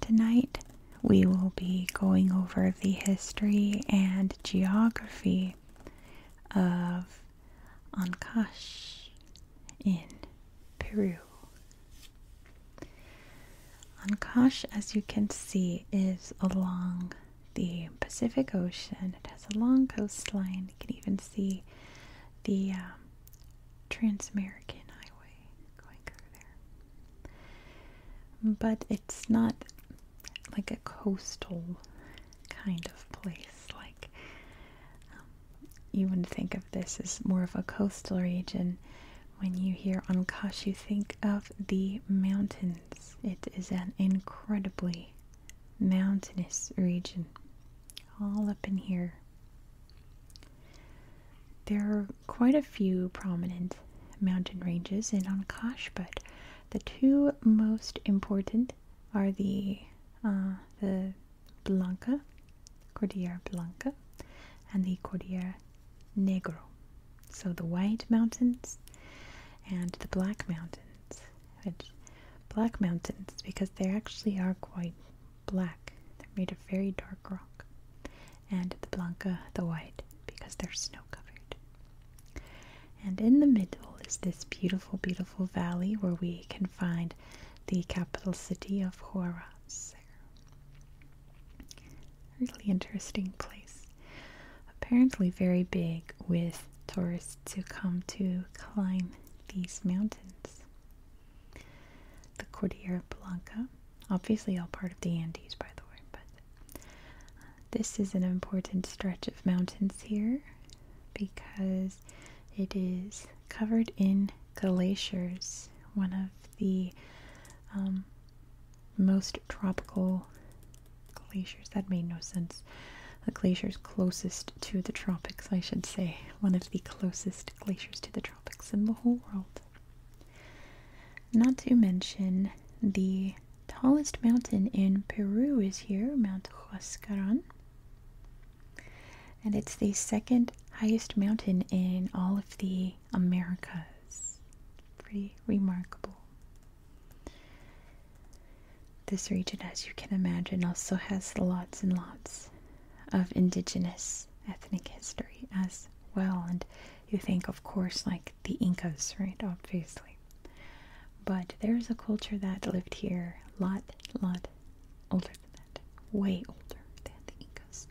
Tonight we will be going over the history and geography of Ancash in Peru. Ancash, as you can see, is along the Pacific Ocean. It has a long coastline. You can even see the um, Trans-American Highway. But it's not like a coastal kind of place. Like um, you wouldn't think of this as more of a coastal region. When you hear Ancash, you think of the mountains. It is an incredibly mountainous region all up in here. There quite a few prominent mountain ranges in Ancash, but the two most important are the uh, the Blanca, Cordillera Blanca, and the Cordillera Negro. So the White Mountains and the Black Mountains. Which Black Mountains because they actually are quite black. They're made of very dark rock and the Blanca the white because they're snow covered. And in the middle is this beautiful, beautiful valley where we can find the capital city of Huaraz. Really interesting place. Apparently, very big with tourists to come to climb these mountains. The Cordillera Blanca Obviously, all part of the Andes, by the way, but uh, this is an important stretch of mountains here because it is covered in glaciers, one of the um, most tropical glaciers. That made no sense. The glaciers closest to the tropics, I should say. One of the closest glaciers to the tropics in the whole world. Not to mention, the tallest mountain in Peru is here, Mount Huascaran. And it's the second highest mountain in all of the Americas. Pretty remarkable. This region, as you can imagine, also has lots and lots of indigenous ethnic history as well. And you think, of course, like the Incas, right? Obviously. But there's a culture that lived here a lot, lot older than that. Way older than the Incas.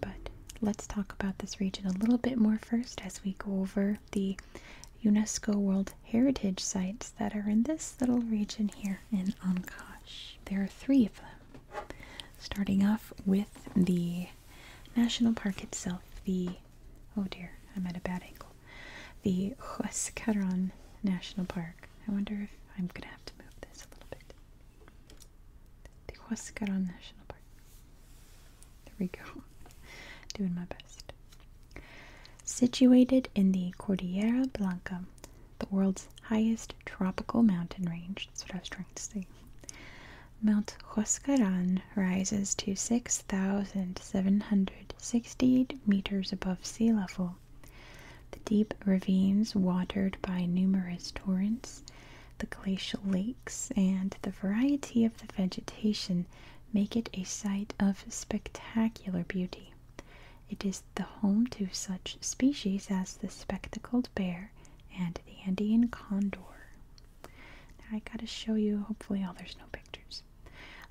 But let's talk about this region a little bit more first as we go over the UNESCO World Heritage Sites that are in this little region here in Ancash. There are three of them. Starting off with the national park itself, the oh dear, I'm at a bad angle. The Huascaran National Park. I wonder if I'm gonna have to move this a little bit. The Huascaran National Park. There we go. Doing my best. Situated in the Cordillera Blanca, the world's highest tropical mountain range. That's what I was trying to say. Mount Huascaran rises to 6,768 meters above sea level. The deep ravines watered by numerous torrents, the glacial lakes, and the variety of the vegetation make it a sight of spectacular beauty. It is the home to such species as the spectacled bear and the Andean condor. Now I gotta show you, hopefully, oh, there's no pictures.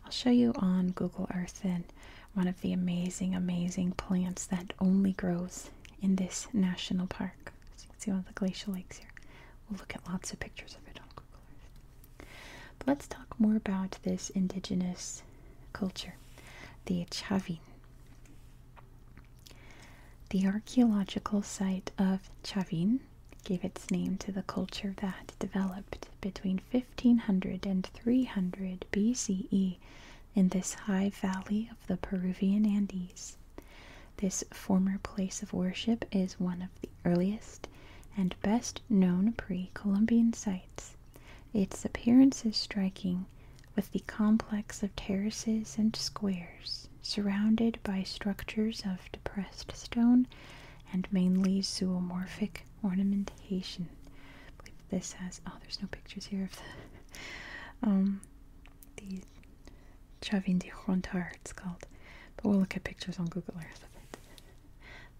I'll show you on Google Earth and one of the amazing, amazing plants that only grows in this national park. you see, all the glacial lakes here. We'll look at lots of pictures of it on Google Earth. But let's talk more about this indigenous culture, the Chavin. The archaeological site of Chavin gave its name to the culture that developed between 1500 and 300 BCE in this high valley of the Peruvian Andes. This former place of worship is one of the earliest and best known pre Columbian sites its appearance is striking, with the complex of terraces and squares surrounded by structures of depressed stone and mainly zoomorphic ornamentation. I believe this has oh, there's no pictures here of the um the Chavin de Rontar it's called. But we'll look at pictures on Google Earth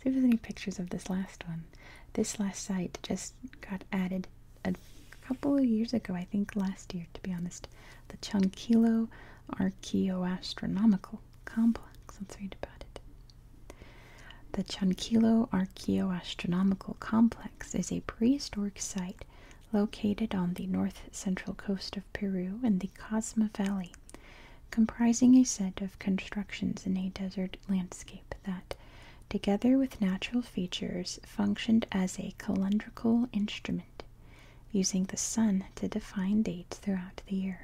See if there's any pictures of this last one. This last site just got added a couple of years ago, I think last year to be honest, the Chunquilo Archaeoastronomical Complex. Let's read about it. The Chunquilo Archaeoastronomical Complex is a prehistoric site located on the north central coast of Peru in the Cosma Valley, comprising a set of constructions in a desert landscape that together with natural features, functioned as a calendrical instrument, using the sun to define dates throughout the year.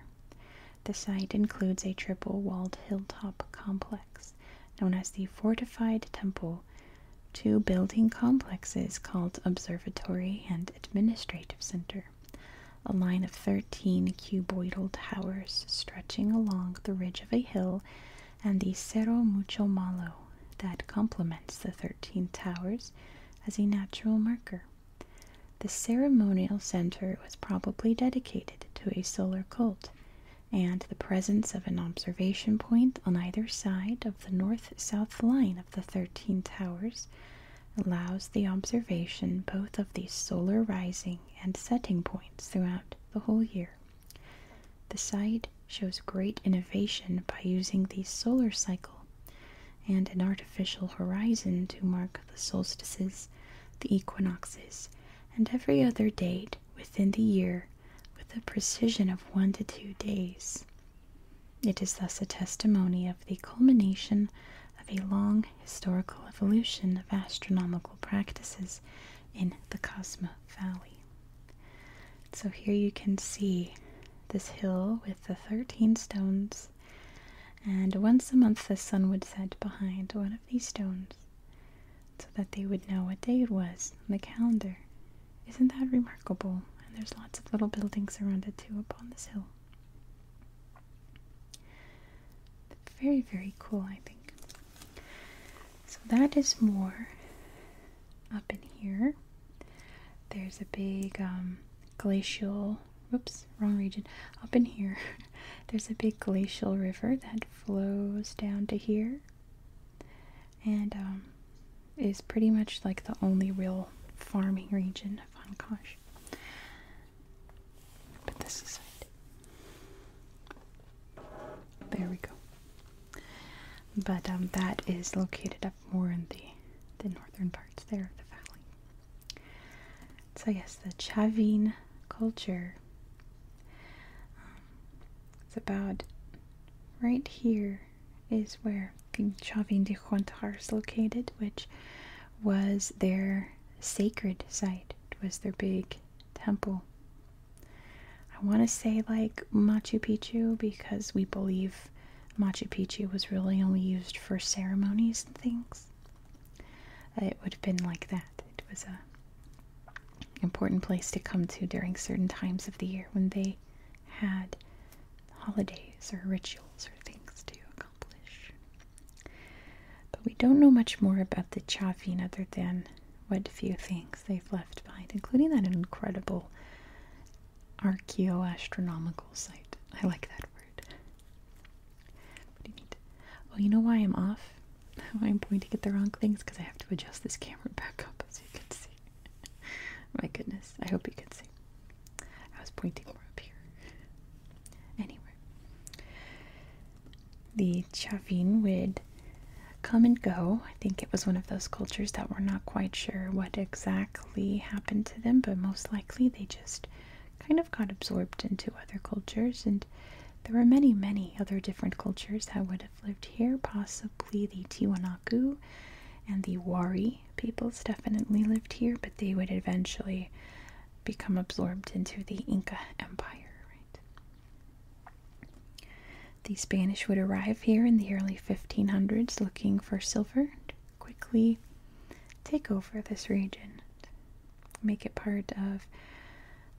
The site includes a triple walled hilltop complex known as the Fortified Temple, two building complexes called Observatory and Administrative Center, a line of 13 cuboidal towers stretching along the ridge of a hill and the Cerro Mucho Malo that complements the 13 towers as a natural marker. The ceremonial center was probably dedicated to a solar cult, and the presence of an observation point on either side of the north south line of the 13 towers allows the observation both of the solar rising and setting points throughout the whole year. The site shows great innovation by using the solar cycle and an artificial horizon to mark the solstices, the equinoxes, and every other date within the year with a precision of one to two days. It is thus a testimony of the culmination of a long historical evolution of astronomical practices in the Cosma Valley. So here you can see this hill with the 13 stones, and once a month the sun would set behind one of these stones so that they would know what day it was on the calendar. Isn't that remarkable? And there's lots of little buildings around it too up on this hill. Very, very cool, I think. So that is more up in here. There's a big um, glacial, whoops, wrong region. Up in here, there's a big glacial river that flows down to here and um, is pretty much like the only real farming region of Ancash. Put this aside. There we go. But um, that is located up more in the the northern parts there of the valley. So yes, the Chavin culture. Um, it's about right here is where the Chavin de Huantar is located, which was their sacred site. It was their big temple. I want to say like Machu Picchu because we believe Machu Picchu was really only used for ceremonies and things. It would have been like that. It was a important place to come to during certain times of the year when they had holidays or rituals or things to accomplish. But we don't know much more about the Chavin other than what few things they've left behind, including that incredible archaeoastronomical site. I like that word. Pretty Oh, you know why I'm off? Why I'm pointing at the wrong things? Because I have to adjust this camera back up so you can see. My goodness, I hope you can see. I was pointing more up here. Anyway, the Chavin would come and go. I think it was one of those cultures that we're not quite sure what exactly happened to them, but most likely they just kind of got absorbed into other cultures. And there were many, many other different cultures that would have lived here, possibly the Tiwanaku and the Wari peoples definitely lived here, but they would eventually become absorbed into the Inca Empire. The Spanish would arrive here in the early 1500s looking for silver quickly take over this region, make it part of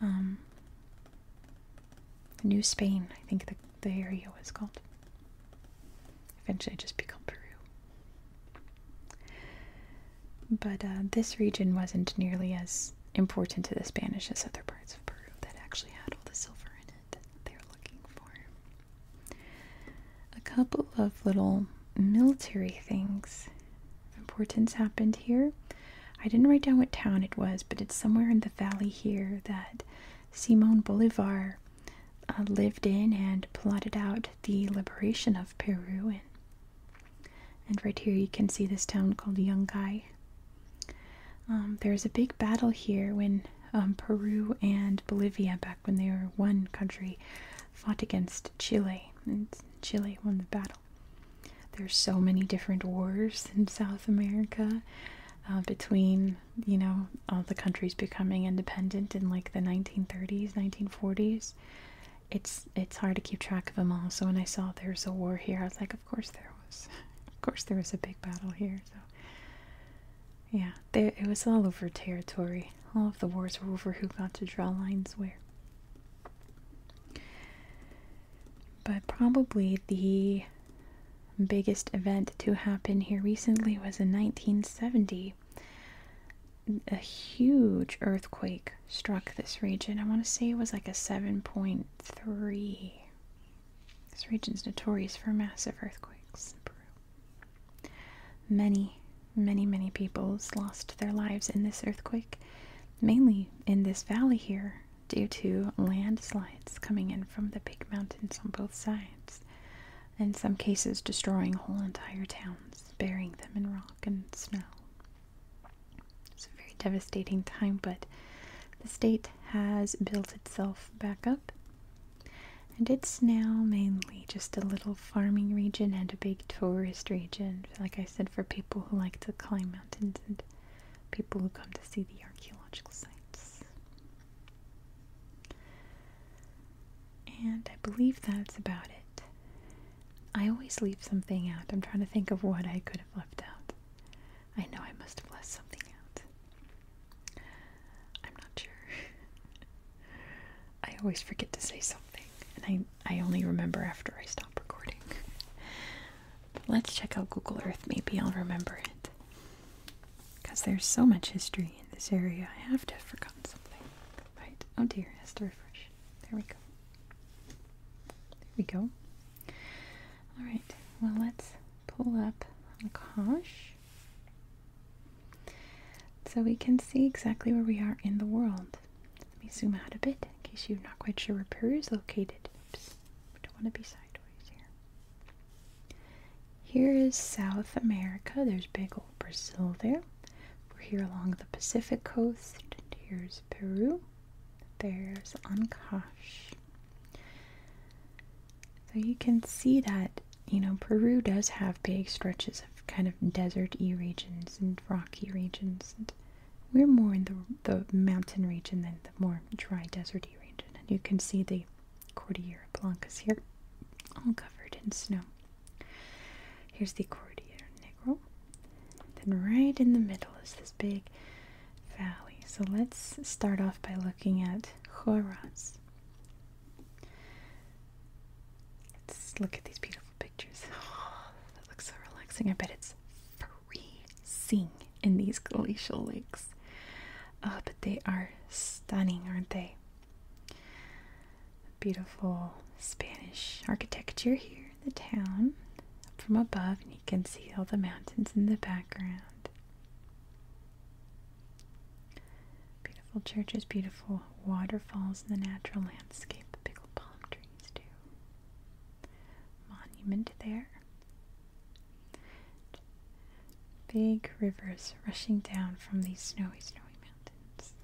um, New Spain, I think the, the area was called. Eventually, it just became Peru. But uh, this region wasn't nearly as important to the Spanish as other parts of Peru that actually had all the silver in it that they were looking for. A couple of little military things of importance happened here. I didn't write down what town it was, but it's somewhere in the valley here that Simon Bolivar uh, lived in and plotted out the liberation of Peru and and right here you can see this town called Yungay. Um, there was a big battle here when um, Peru and Bolivia, back when they were one country, fought against Chile, and Chile won the battle. There's so many different wars in South America uh, between, you know, all the countries becoming independent in like the 1930s, 1940s it's it's hard to keep track of them all. So when I saw there was a war here, I was like, of course there was. of course there was a big battle here. So yeah, it was all over territory. All of the wars were over who got to draw lines where. But probably the biggest event to happen here recently was in 1970 a huge earthquake struck this region. I want to say it was like a 7.3. This region's notorious for massive earthquakes Many, many, many peoples lost their lives in this earthquake, mainly in this valley here due to landslides coming in from the big mountains on both sides. and some cases, destroying whole entire towns, burying them in rock and snow. It's a very devastating time, but the state has built itself back up. And it's now mainly just a little farming region and a big tourist region, like I said, for people who like to climb mountains and people who come to see the archaeological sites. And I believe that's about it. I always leave something out. I'm trying to think of what I could have left out. I know I must have left something out. I'm not sure. I always forget to say something, and I, I only remember after I stop recording. let's check out Google Earth. Maybe I'll remember it. Because there's so much history in this area, I have to have forgotten something. Right. Oh dear, it has to refresh. There we go. There we go. Alright, well let's pull up kosh So we can see exactly where we are in the world. Let me zoom out a bit in case you're not quite sure where Peru is located. Oops, we don't want to be sideways here. Here is South America. There's big old Brazil there. We're here along the Pacific coast. And here's Peru. There's Ancash. So you can see that, you know, Peru does have big stretches of kind of desert deserty regions and rocky regions. we're more in the, the mountain region than the more dry desert deserty region. And you can see the Cordillera Blancas here, all covered in snow. Here's the Cordillera Negro. Then right in the middle is this big valley. So let's start off by looking at Huaraz. Let's look at these beautiful pictures. Oh, that looks so relaxing. I bet it's freezing in these glacial lakes. Oh, but they are stunning, aren't they? Beautiful Spanish architecture here in the town up from above, and you can see all the mountains in the background. Beautiful churches, beautiful waterfalls, and the natural landscape. The big palm trees, too. Monument there. Big rivers rushing down from these snowy, snowy mountains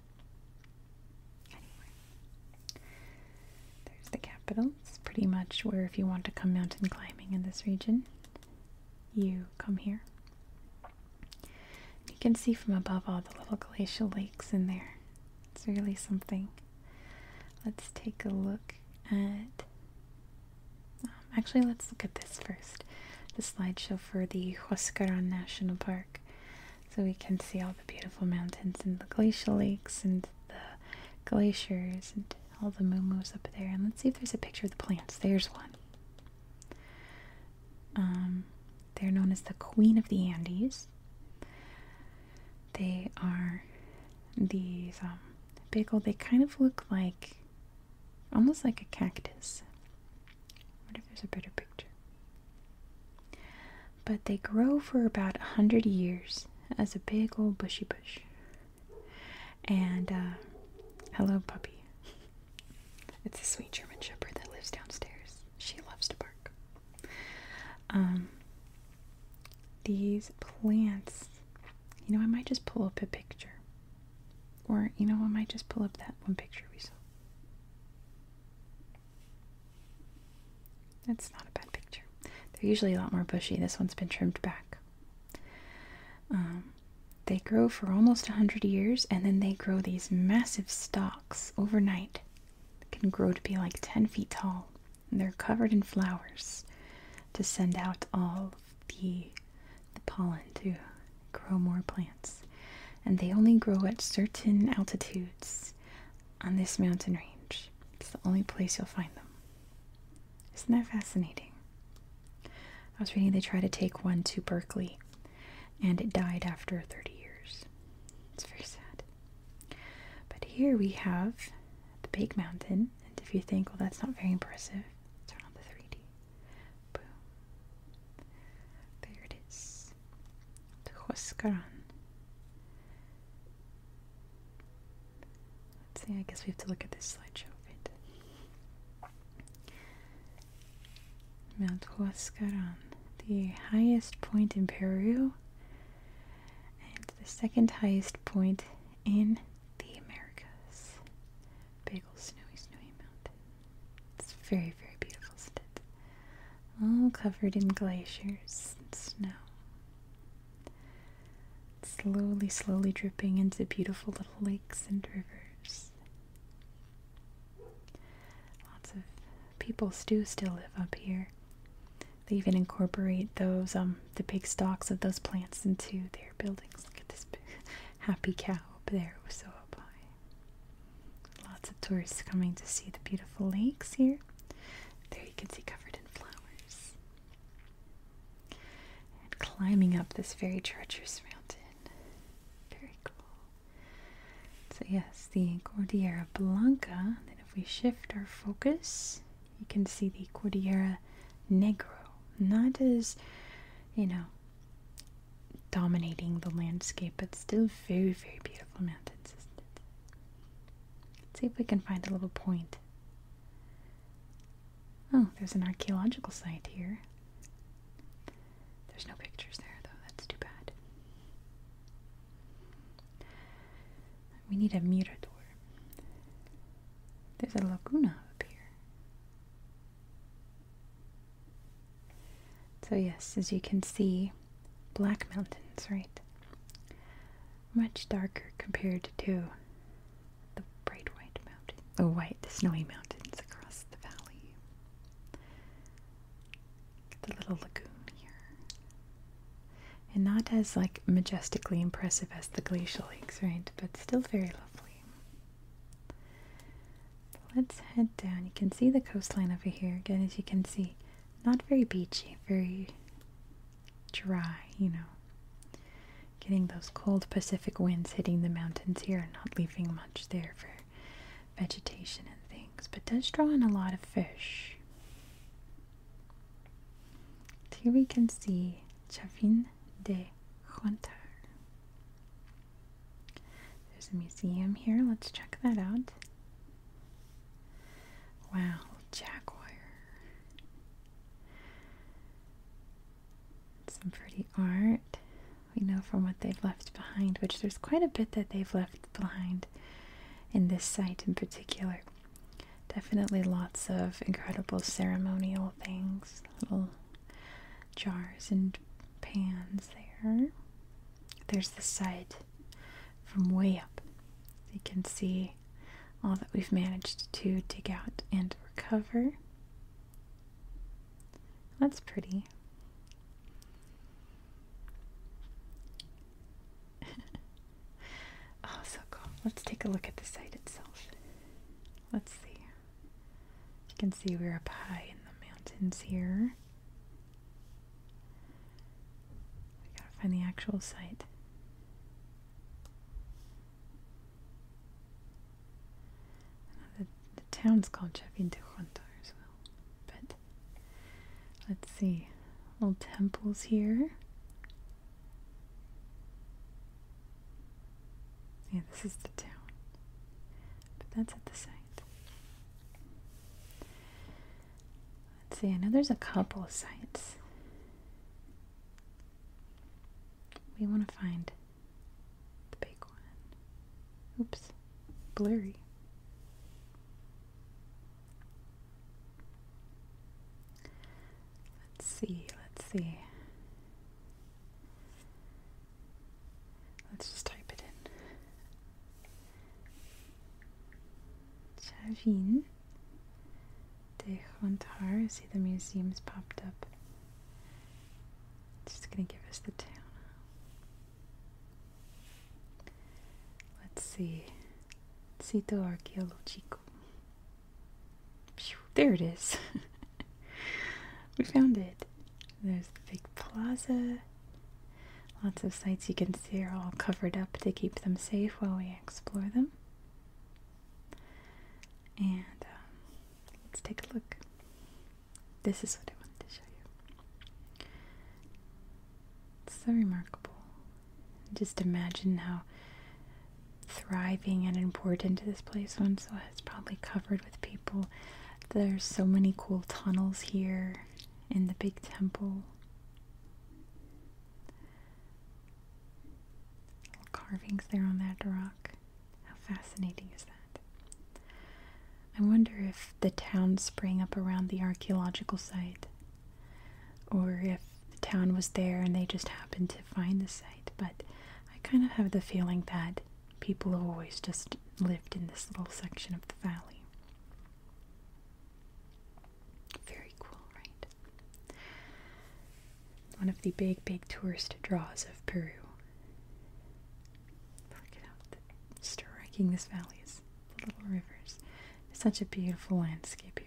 there's the capital. It's pretty much where, if you want to come mountain climbing in this region, you come here. You can see from above all the little glacial lakes in there. It's really something. Let's take a look at. Um, actually, let's look at this first. The slideshow for the Huascaran National Park so we can see all the beautiful mountains and the glacial lakes and the glaciers and all the moo up there. And let's see if there's a picture of the plants. There's one. Um, they're known as the Queen of the Andes. They are these big um, old, they kind of look like almost like a cactus. What if there's a better picture? But they grow for about a hundred years as a big old bushy bush. And uh, hello, puppy. It's a sweet German Shepherd that lives downstairs. She loves to bark. Um, these plants, you know, I might just pull up a picture or, you know, I might just pull up that one picture we saw. That's not a bad picture. They're usually a lot more bushy. This one's been trimmed back. Um, they grow for almost 100 years and then they grow these massive stalks overnight. can grow to be like 10 feet tall. they're covered in flowers to send out all the the pollen to grow more plants. And they only grow at certain altitudes on this mountain range. It's the only place you'll find them. Isn't that fascinating? I was reading they tried to take one to Berkeley and it died after 30 years. It's very sad. But here we have the Big Mountain, and if you think, well, that's not very impressive, turn on the 3D. There it is. Tuhuskaran. Let's see, I guess we have to look at this slideshow a bit. Mount Huascaran, the highest point in Peru and the second highest point in the Americas. Big snowy, snowy mountain. It's very, very beautiful, isn't it? All covered in glaciers and snow. slowly, slowly dripping into beautiful little lakes and rivers. Lots of people do still live up here. They even incorporate those, um, the big stalks of those plants into their buildings. Look at this happy cow up there, it Lots of tourists coming to see the beautiful lakes here. There you can see covered in flowers. And climbing up this very treacherous mountain. Very cool. So yes, the Cordillera Blanca. Then if we shift our focus, you can see the Cordillera Negro. Not as, you know, dominating the landscape, but still very, very beautiful mountains, Let's see if we can find a little point. Oh, there's an archaeological site here. There's no pictures there, though. That's too bad. We need a mirador. There's a laguna up here. So, yes, as you can see, Black Mountains, right? Much darker compared to the bright white mountain, the white snowy mountains across the valley. The little lagoon here. And not as like majestically impressive as the glacial lakes, right? But still very lovely. Let's head down. You can see the coastline over here. Again, as you can see, not very beachy, very dry, you know. Getting those cold Pacific winds hitting the mountains here and not leaving much there for vegetation and things, but does draw in a lot of fish. Here we can see Chavin de Huantar. There's a museum here. Let's check that out. Wow, Jaguar! Some pretty art. We know from what they've left behind, which there's quite a bit that they've left behind in this site in particular. Definitely lots of incredible ceremonial things, jars and pans there. There's the site from way up. You can see all that we've managed to dig out and recover. That's pretty. oh, so cool. Let's take a look at the site itself. Let's see. You can see we're up high in the mountains here. We gotta find the actual site. The, town's called Chapin de Junta as well. But let's see. Little temples here. Yeah, this is the town. But that's at the side. Let's see, I know there's a couple of sites. We want to find the big one. Oops, blurry. Let's see, let's see. Let's just type it in. Chavin de Rontar. See the museum's popped up. It's just gonna give us the town. Let's see. Sitio arqueológico there it is. we found it. There's the big plaza. Lots of sites you can see are all covered up to keep them safe while we explore them. And um, let's take a look. This is what I wanted to show you. It's so remarkable. Just imagine how thriving and important. to This place once it's probably covered with people. There's so many cool tunnels here in the big temple. carvings there on that rock. How fascinating is that? I wonder if the town sprang up around the archaeological site or if the town was there and they just happened to find the site, but I kind of have the feeling that people have always just lived in this little section of the valley. Very cool, right? One of the big, big tourist draws of Peru. Look at how striking this valley is. The little rivers. such a beautiful landscape here.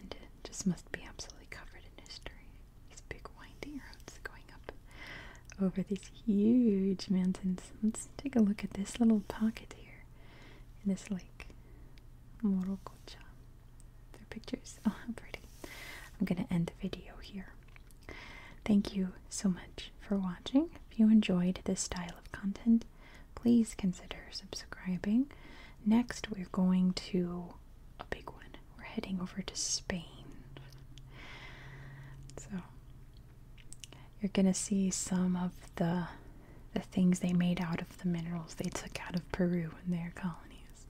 And it just must be absolutely covered in history. These big winding roads going up over these huge mountains. Let's take a look at this little pocket here in this lake, Morokocha. Their pictures. Oh, how pretty. I'm going to end the video here. Thank you so much for watching. If you enjoyed this style of content, please consider subscribing Next, we're going to a big one. We're heading over to Spain. So, you're going to see some of the the things they made out of the minerals they took out of Peru in their colonies.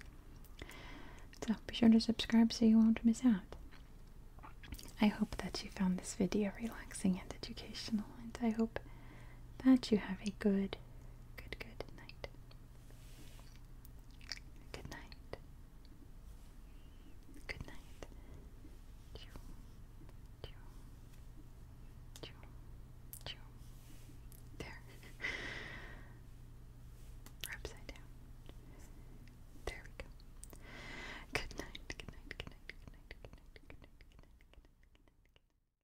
So, be sure to subscribe so you won't miss out. I hope that you found this video relaxing and educational, and I hope that you have a good Good, good night. Good night. Good night. Choo, choo, choo, choo. There. We're upside down. There we go. Good night. Good night. Good night. Good night. Good night. Good night. Good night. Good night.